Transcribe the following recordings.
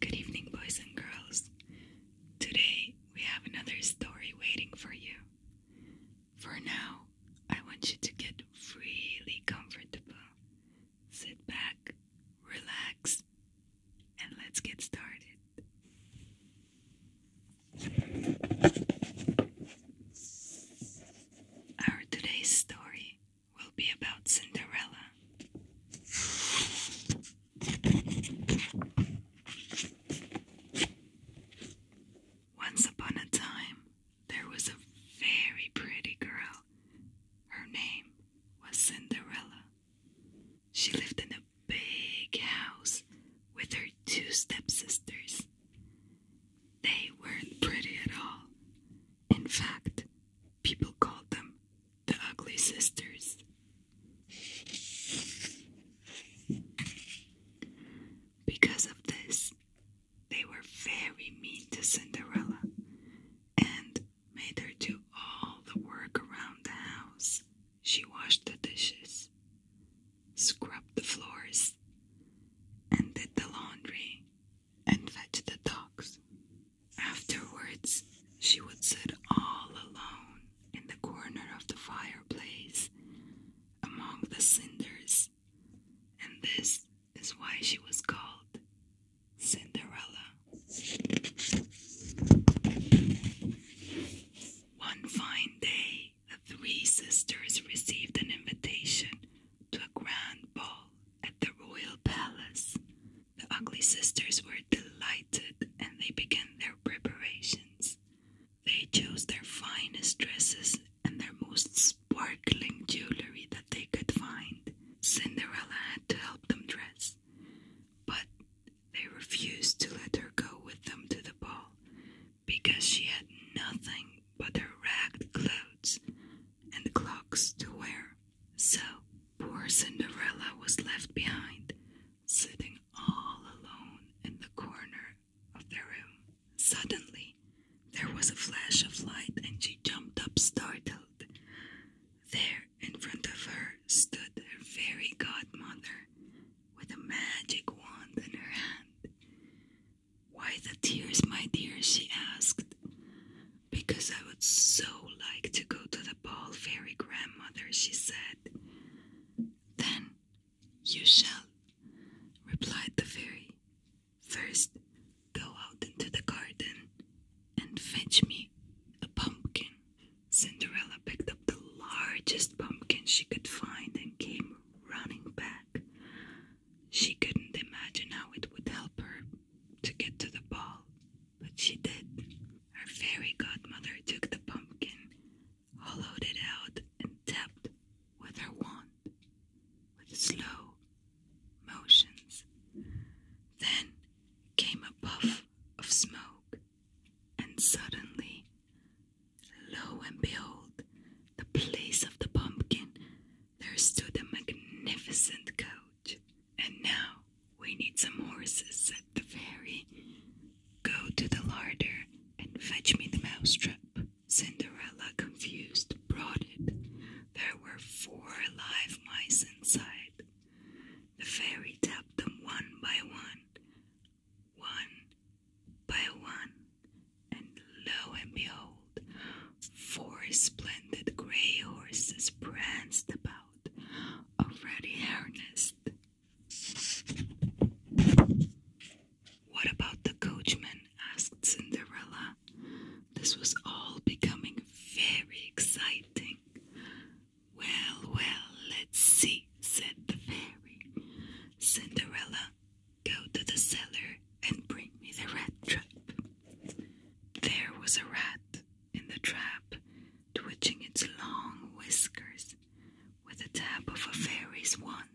Good evening, boys and girls. Today we have another story waiting for you. For now, I want you to get really comfortable. Sit back, relax, and let's get started. Our today's story will be about Cinderella. Once upon a time, there was a very pretty girl. Her name was Cinderella. She lived in a big house with her two stepsisters. They weren't pretty at all. In fact, people called them the Ugly Sisters. Because of this, they were very mean to Cinderella and made her do all the work around the house. She washed the dishes, scrubbed the floors, and did the laundry and fetched the dogs. Afterwards, she would sit all alone in the corner of the fireplace among the cinders, and this is why she was called Cinderella. One fine day, the three sisters received an invitation to a grand ball at the royal palace. The ugly sisters were delighted and they began their preparations. They chose their finest dresses and their most sparkling jewelry that they could find. Cinderella had to help them dress, but they refused to let her go with them to the ball because she had nothing but her ragged clothes and clogs to wear. So poor Cinderella was left behind, sitting all alone in the corner of the room. Suddenly, there was a flash of light, and she jumped up startled. There, in front of her, stood her fairy godmother, with a magic wand in her hand. Why the tears, my dear? she asked. Because I would so like to go to the ball, fairy grandmother, she said. Then you shall, replied the fairy. First, go out into the garden and fetch me a pumpkin. Cinderella picked up the largest pumpkin she could find and came running back. She couldn't imagine how it would help her to get to the ball, but she did. Her fairy godmother took the pumpkin, hollowed it out, and tapped with her wand with slow motions. Then came a puff of smoke, and suddenly Lo and behold, the place of the pumpkin, there stood a magnificent coach. And now we need some horses, said the fairy. Go to the larder and fetch me the mousetrap. Cinderella, confused, brought it. There were four live mice inside. The fairy tapped them one by one one by one, and lo and behold, four splendid grey horses pranced about, already harnessed. What about the coachman? asked Cinderella. This was all becoming very exciting. Well, well, let's see, said the fairy. Cinderella, go to the cellar and bring me the rat trap. There was a rat in the trap, twitching its long whiskers with a tap of a fairy's wand.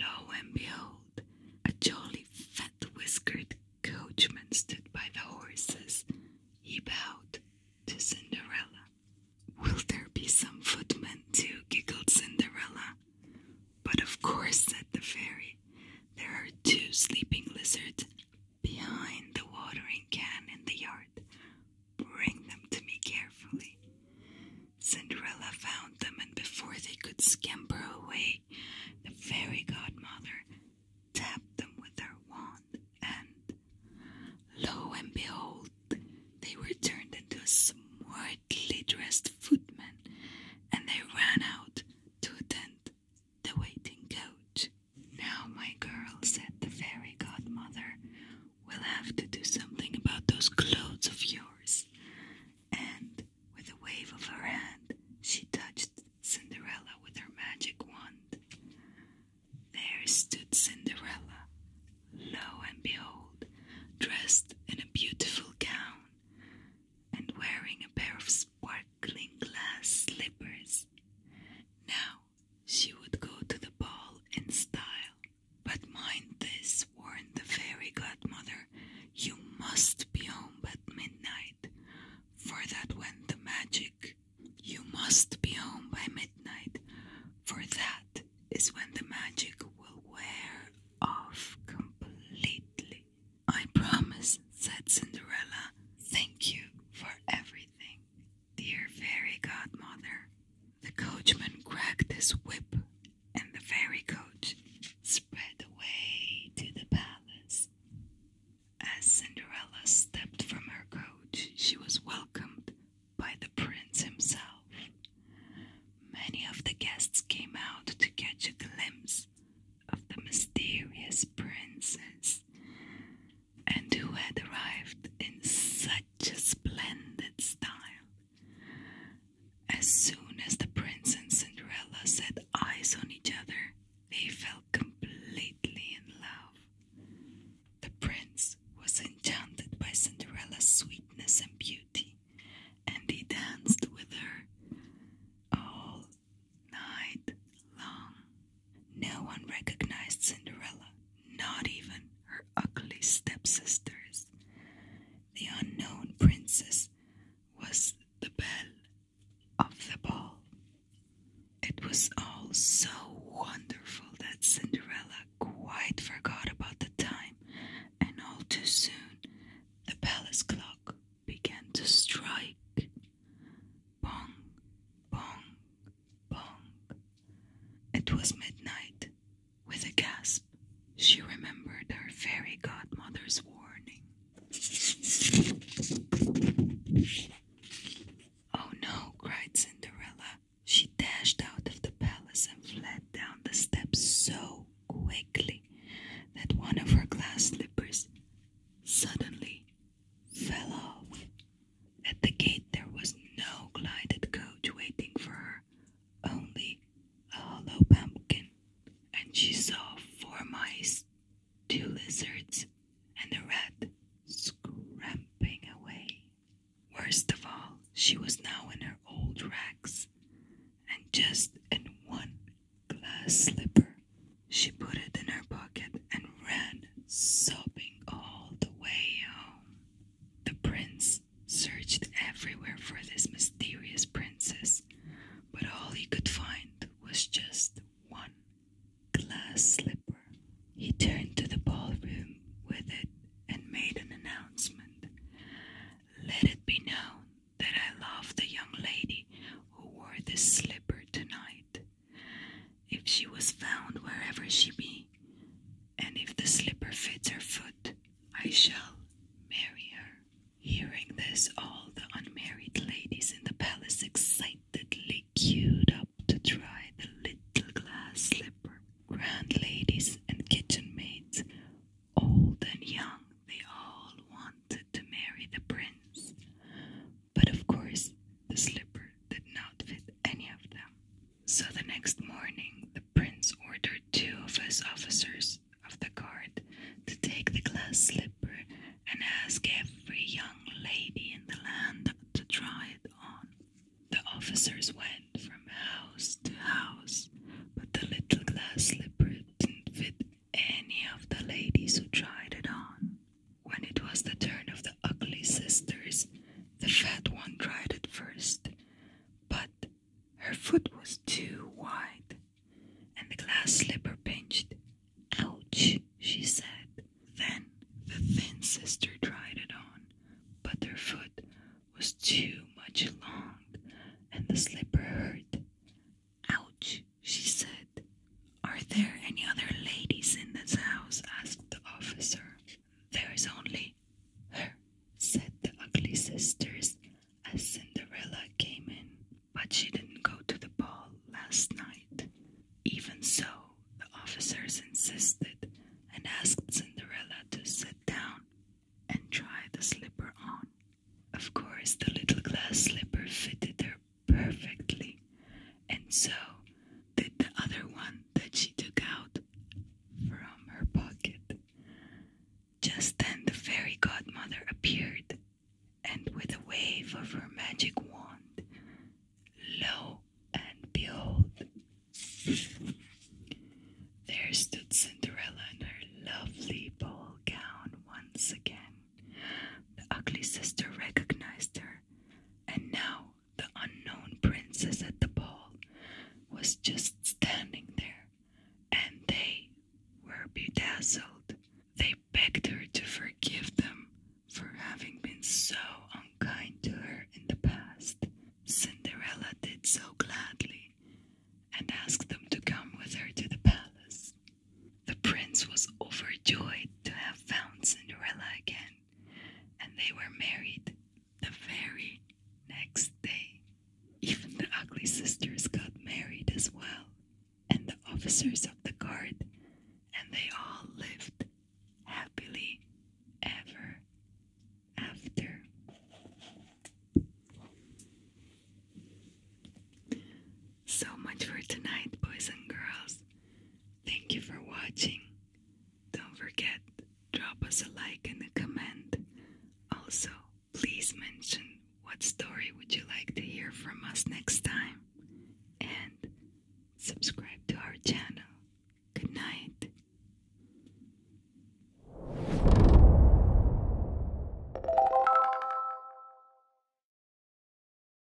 Lo and behold, a jolly fat whiskered coachman stood by the horses. He bowed to Cinderella. Will there be some footmen too? giggled Cinderella. But of course, said the fairy, there are two sleeping lizards behind the watering can in the yard. Bring them to me carefully. Cinderella found them, and before they could scamper away, the fairy godmother tapped them with her wand, and lo and behold, they were turned into smartly dressed footmen, and they ran out to attend the waiting coach. Now, my girl, said the fairy godmother, we'll have to do something about those clothes of yours. And with a wave of her hand, she touched Cinderella with her magic wand. There stood Cinderella, lo and behold, dressed in a beautiful gown and wearing a pair of sparkling glass slippers. Now she would go to the ball in style. But mind this, warned the fairy godmother, you must be home by midnight, for that went the magic. You must be home by midnight, for that is when the magic will wear off completely. I promise, said Cinderella. Thank you for everything, dear fairy godmother. The coachman cracked his whip, and the fairy coach sped away to the palace. As Cinderella stepped from her coach, she was welcomed by the prince himself. Many of the guests came out to catch a glimpse of the mysterious princess, and who had arrived in such a splendid style. As soon as the prince and Cinderella set eyes on each other, they fell completely in love. The prince was enchanted by Cinderella's sweetness and beauty, and he danced with her all night long. No one recognized Cinderella, not even her ugly stepsisters. The unknown princess was the bell of the ball. It was all so wonderful that Cinderella quite forgot about the time, and all too soon the palace clock began to strike. Bong, bong, bong. It was midnight. With a gasp, she remembered her fairy godmother's warning. Oh no, cried Cinderella. She dashed out of the palace and fled down the steps so quickly that one of her glass slippers suddenly fell off. At the gate, there was no glided coach waiting for her, only a hollow pumpkin, and she saw four mice, two lizards, and a rat scramping away. Worst of all, she was now in her old rags, and just in one glass slipper. She put it in her pocket and ran, sobbing all the way home. The prince searched everywhere for this mysterious princess, but all he could find was just one glass slipper. He turned to the ballroom with it and made an announcement. Let it be known that I love the young lady who wore this slipper tonight. If she was found wherever she be, and if the slipper fits her foot, I shall marry her. Hearing this, all the unmarried ladies in the palace excitedly queued up to try the little glass slipper. Grand ladies and kitchen maids, old and young, they all wanted to marry the prince. But of course, the slipper did not fit any of them. So the next morning, the prince ordered two of his officers of the guard to take the glass slipper and ask every young lady in the land to try it on. The officers went from house to house, but the little glass slipper didn't fit any of the ladies who tried it on. When it was the turn of the ugly sisters, the fat one tried it first, but her foot was too wide and the glass slipper pinched. Ouch, she said. Then the thin sister tried it on, but her foot was too much long and the slipper hurt. Ouch, she said. Are there any other ladies in this house? asked the officer. There is only her, said the ugly sisters as Cinderella came in. But she didn't go to the ball last night. Even so, the officers insisted and asked Cinderella to sit down and try the slipper on. Of course, the little glass slipper fitted her perfectly, and so did the other one that she took out from her pocket. Just then the fairy godmother appeared, and with a wave of her magic wand, lo and behold, there stood Cinderella in her lovely ball gown once again. The ugly sister recognized her, and now the unknown princess at the ball was just standing there, and they were bedazzled. They begged her to forgive them for having been so unkind to her in the past. Cinderella did so gladly and asked them to come with her to the palace. The prince was overjoyed to have found Cinderella again and they were married the very next day. Even the ugly sisters got married as well, and the officers of the guard, and they all lived happily ever after. So much for tonight, boys and girls. Thank you for watching. Don't forget, drop us a like and a comment. Also, please mention what story would you like to hear from us next time. And subscribe to our channel. Good night.